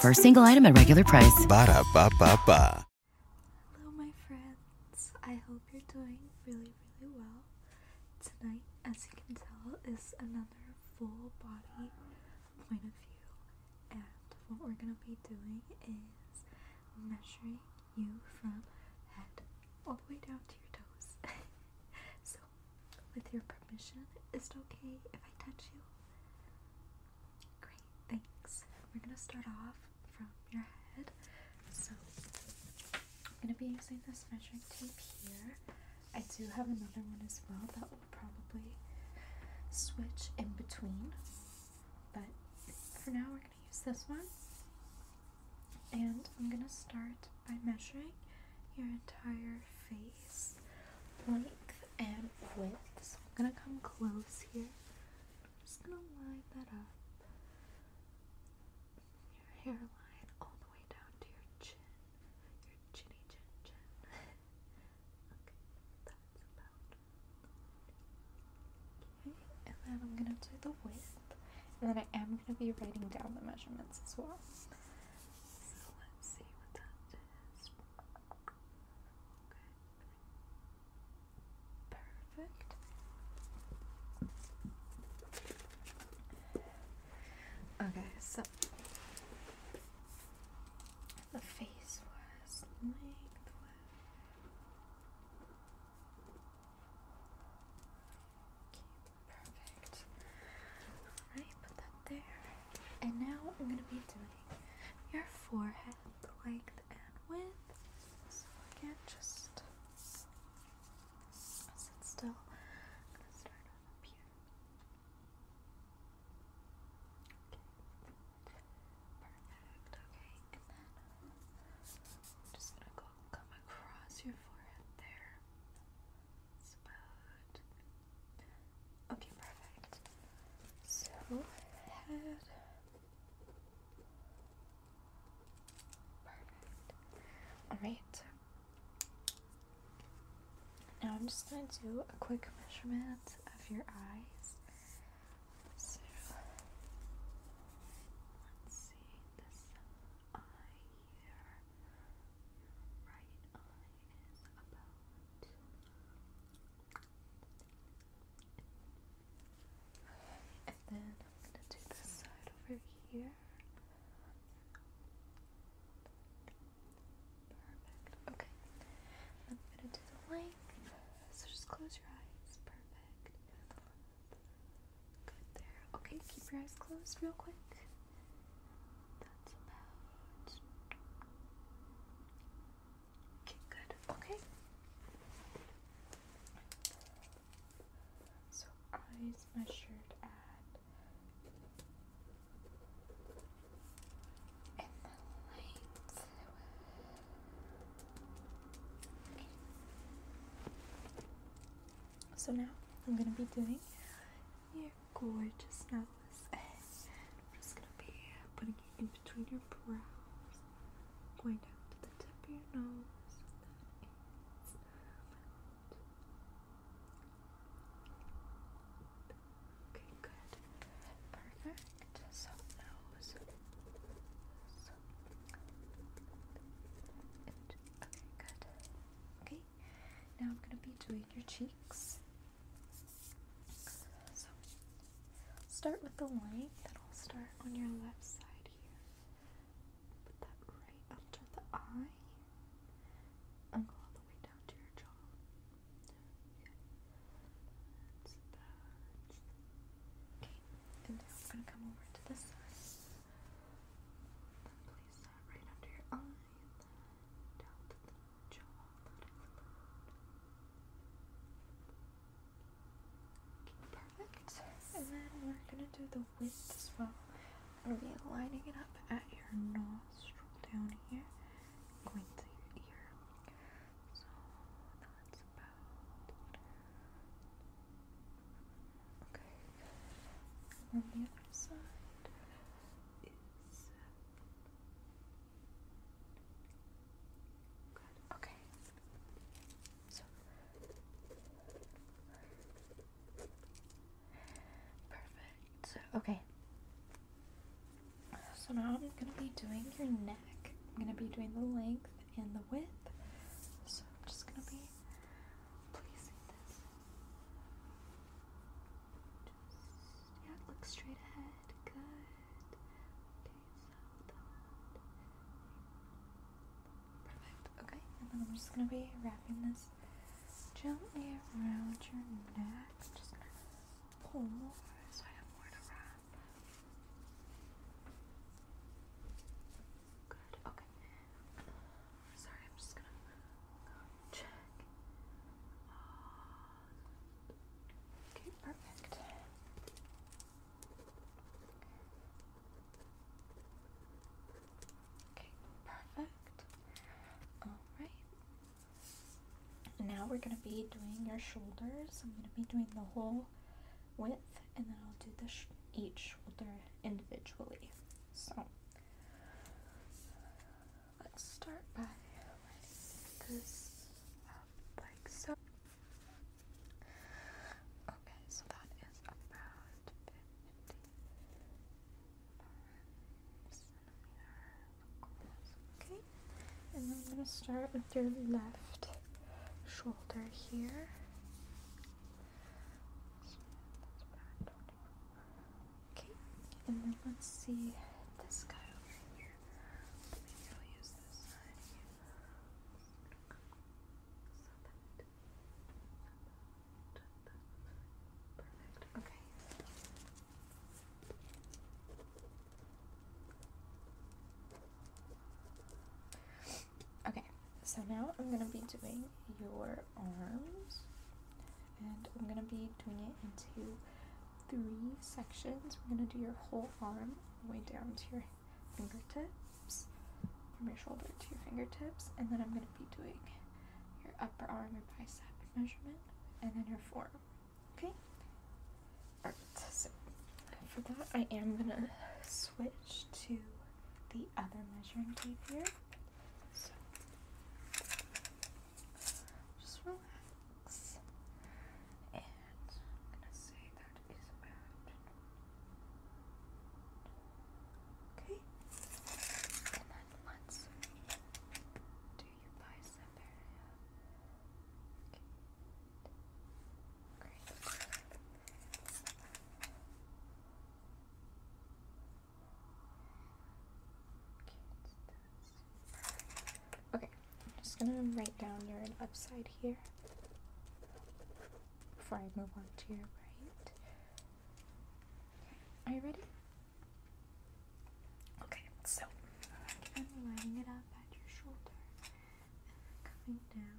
For a single item at regular price. Ba da ba ba Hello, my friends. I hope you're doing really, really well. Tonight, as you can tell, is another full body point of view. And what we're gonna be doing is measuring you from head all the way down to your toes. so with your permission, is it okay if I touch you? Great, thanks. We're gonna start off from your head. So, I'm gonna be using this measuring tape here. I do have another one as well that will probably switch in between, but for now, we're gonna use this one. And I'm gonna start by measuring your entire face length and width. So I'm gonna come close here. I'm just gonna line that up. Your hairline all the way down to your chin. Your chinny chin chin. okay, that's about and then I'm gonna do the width. And then I am gonna be writing down the measurements as well. So let's see what that is. Okay. Perfect. Okay, so the face was like. Perfect. Alright, put that there. And now I'm gonna be doing your forehead length and width. So again, just sit still. Okay. Perfect. Okay, just gonna go come across your forehead there. Okay, perfect. So, head. Perfect. Alright. Now I'm just going to do a quick measurement of your eyes. So, let's see this eye right eye is about and then I'm gonna do this side over here. Perfect. Okay. I'm gonna do the length. So just close your eyes. Perfect. Good there. Okay, keep your eyes closed real quick. That's about. good. Okay. So eyes measured at. And the lights. Okay. So now I'm gonna be doing your gorgeous now I'm just gonna be putting it in between your brows, going down to the tip of your nose. okay, good, perfect. So nose, so and good. Okay, now I'm going to be doing your cheeks. So, start with the line that'll start on your left side here. Put that right under the eye and all the way down to your jaw. and now I'm going to come over to this Then place that right under your eye perfect. And then we're gonna do the width as well. I'm gonna be lining it up at your nostril down here, going to your ear. So that's About Okay, good. the other side is uh, good. Okay. So perfect. Okay. So now I'm gonna be doing your neck. I'm gonna be doing the length and the width. So I'm just gonna be placing this just, yeah, look straight ahead. Good. Okay, Perfect. Okay, and then I'm just gonna be wrapping this gently around your neck. just pull more so I have more to wrap. Good, okay. Sorry, I'm just gonna check. Uh, okay, perfect. Okay, perfect. Alright. Now we're gonna be doing your shoulders. I'm gonna be doing the whole width and then I'll do the each shoulder individually. So Let's start by writing this up like so. Okay, so that is about 50 centimeters Okay, and I'm going to start with your left shoulder here. Okay, and then let's see this guy over here. Maybe I'll use this side here. perfect. Okay. Okay, so now I'm gonna be doing your arms. And I'm going to be doing it into three sections. We're going to do your whole arm way down to your fingertips, from your shoulder to your fingertips, and then I'm going to be doing your upper arm, your bicep measurement, and then your forearm. Okay? Alright, so for that, I am going to switch to the other measuring tape here just relax. And I'm gonna say that is about Okay. And then let's do your bicep area. Okay. Great. Okay, I'm just gonna write down your upside here before I move on to your right. Are you ready? Okay, so I'm lining it up at your shoulder and coming down.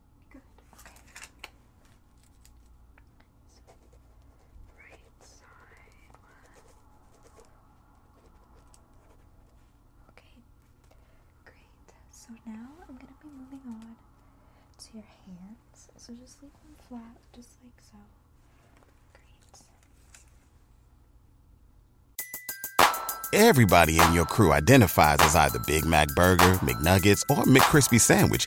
Good. Okay. So, Okay. Great. So now I'm gonna be moving on to your hands. So just leave them flat, just like so. Great. Everybody in your crew identifies as either Big Mac Burger, McNuggets, or McCrispy Sandwich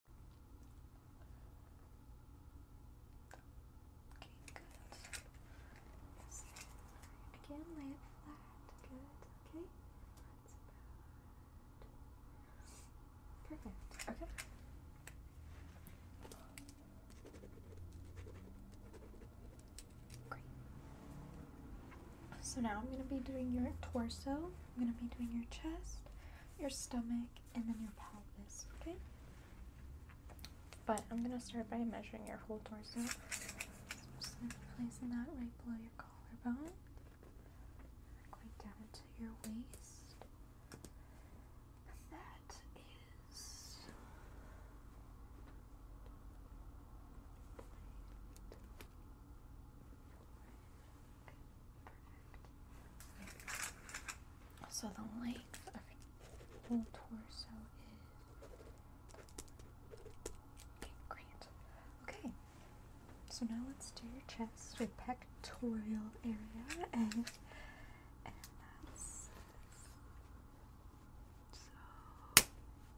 Okay, good. again, lay it flat. Good. Okay. That's about perfect. Okay. Great. So now I'm going to be doing your torso. I'm going to be doing your chest, your stomach, and then your pelvis, okay? But I'm going to start by measuring your whole torso. just placing that right below your collarbone, going down to your waist. that is. So the length of your torso is okay, great. Okay. So now let's do your chest, your pectoral area, and that's so.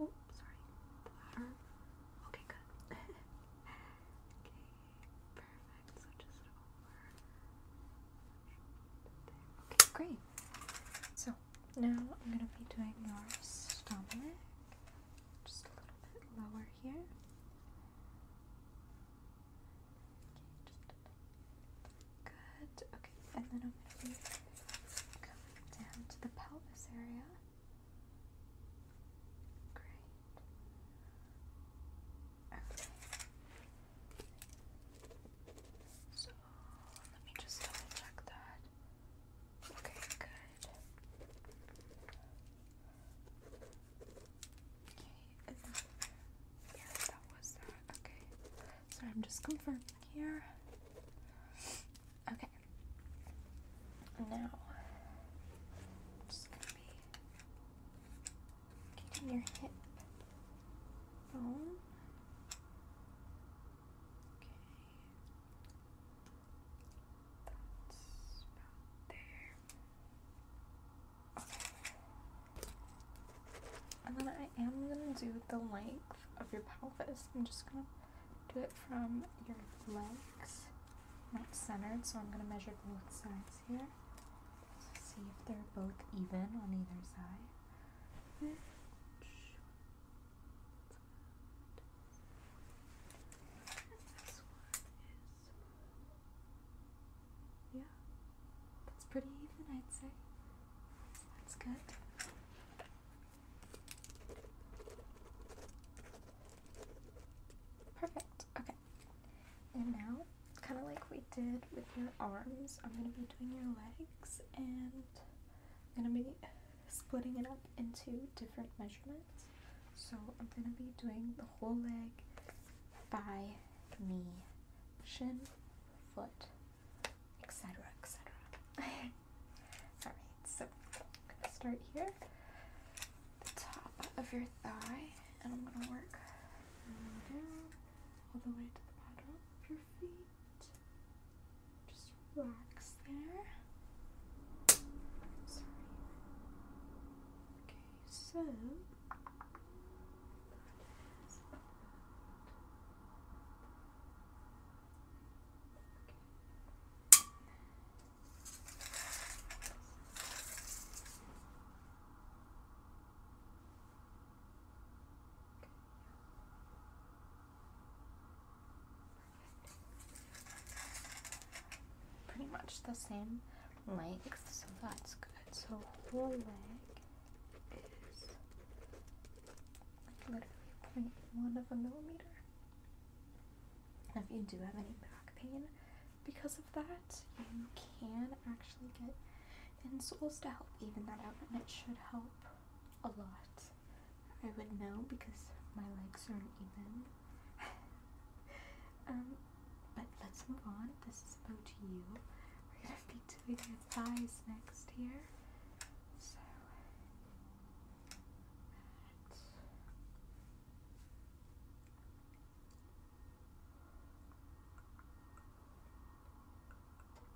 Oh, sorry. Okay, good. okay. Okay, great. So now I'm gonna be doing your stomach. Just a little bit lower here. Okay, good. Okay, and then I'm gonna be coming down to the pelvis area. Great. Okay. So let me just double check that. Okay, good. Okay, yeah, that was that. Okay. So I'm just confirming here. Okay. Now, Getting your hip bone. Okay. That's about there. And then I am going to do the length of your pelvis. I'm just going to do it from your legs not centered, so I'm going to measure both sides here. So see if they're both even on either side. yeah, that's pretty even, I'd say. That's good. Perfect. Okay. And now, kind of like we did with your arms, I'm going to be doing your legs and I'm going to be splitting it up into different measurements. So I'm going to be doing the whole leg, thigh, knee, shin, foot, etc. etc. Alright, so start here, the top of your thigh, and I'm gonna work all the way to the bottom of your feet. Just relax there. Okay, so. Pretty much the same length, so that's good. So whole leg is like literally 0.1 of a millimeter. If you do have any back pain because of that, you can actually get insoles to help even that out, and it should help a lot. I would know because my legs aren't even. um, but let's move on. This is about you. We're gonna be doing your thighs next here. So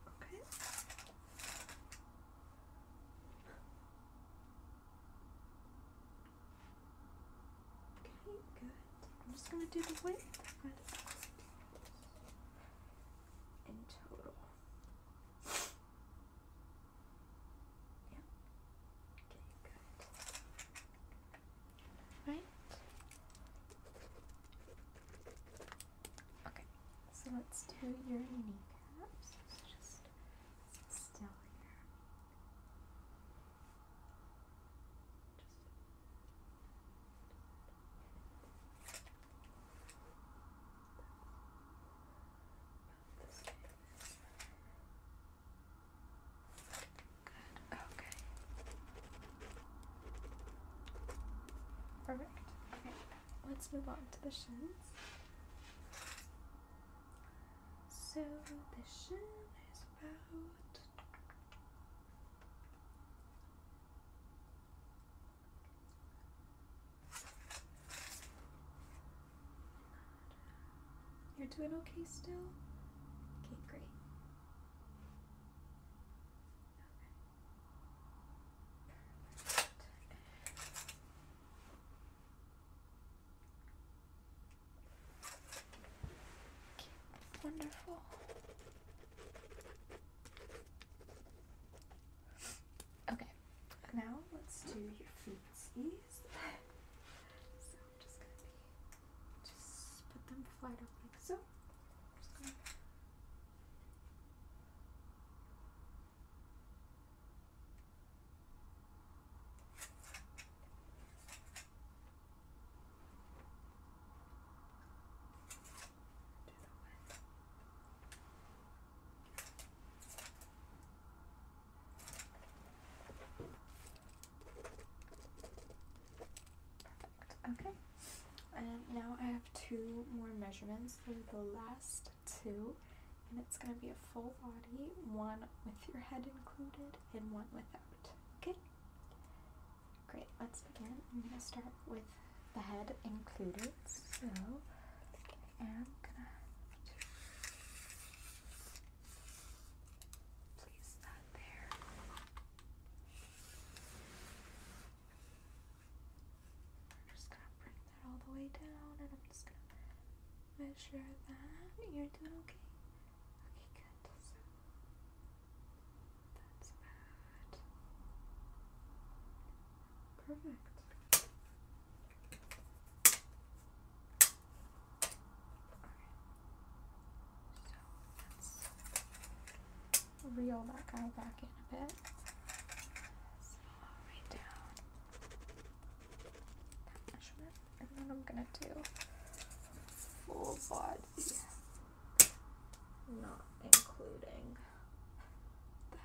Okay. Okay, good. I'm just going to do the width in total. Yeah. Okay, good. Right? Okay, so let's do your kneecaps. let just still here. Just. Good, okay. Perfect. Okay, let's move on to the shins. So the shin is about you're doing okay still? Okay, great. wonderful. Okay now let's do your feet. so just put them flat up like so. just do the one. Okay, and now I have two more measurements. for the last two, and it's going to be a full body, one with your head included and one without. Okay? Great, let's begin. I'm going to start with the head included. So am gonna place that there. We're just gonna bring that all the way down and I'm just gonna measure that. You're doing okay? Okay, good. that's about Perfect. So let's reel that guy back in a bit. So i down that measurement, and then I'm gonna do full body, not including that.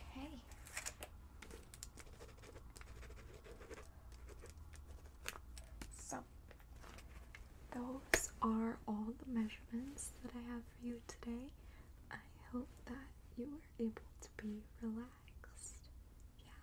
Okay. So, those are all the measurements that I have for you today. I hope that you were able to be relaxed. Yeah,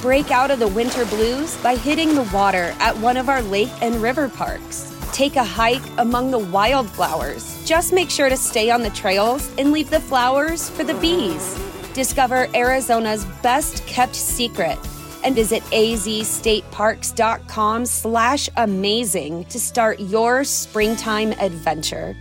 Break out of the winter blues by hitting the water at one of our lake and river parks. Take a hike among the wildflowers. Just make sure to stay on the trails and leave the flowers for the bees. Discover Arizona's best kept secret and visit azstateparks.com slash amazing to start your springtime adventure.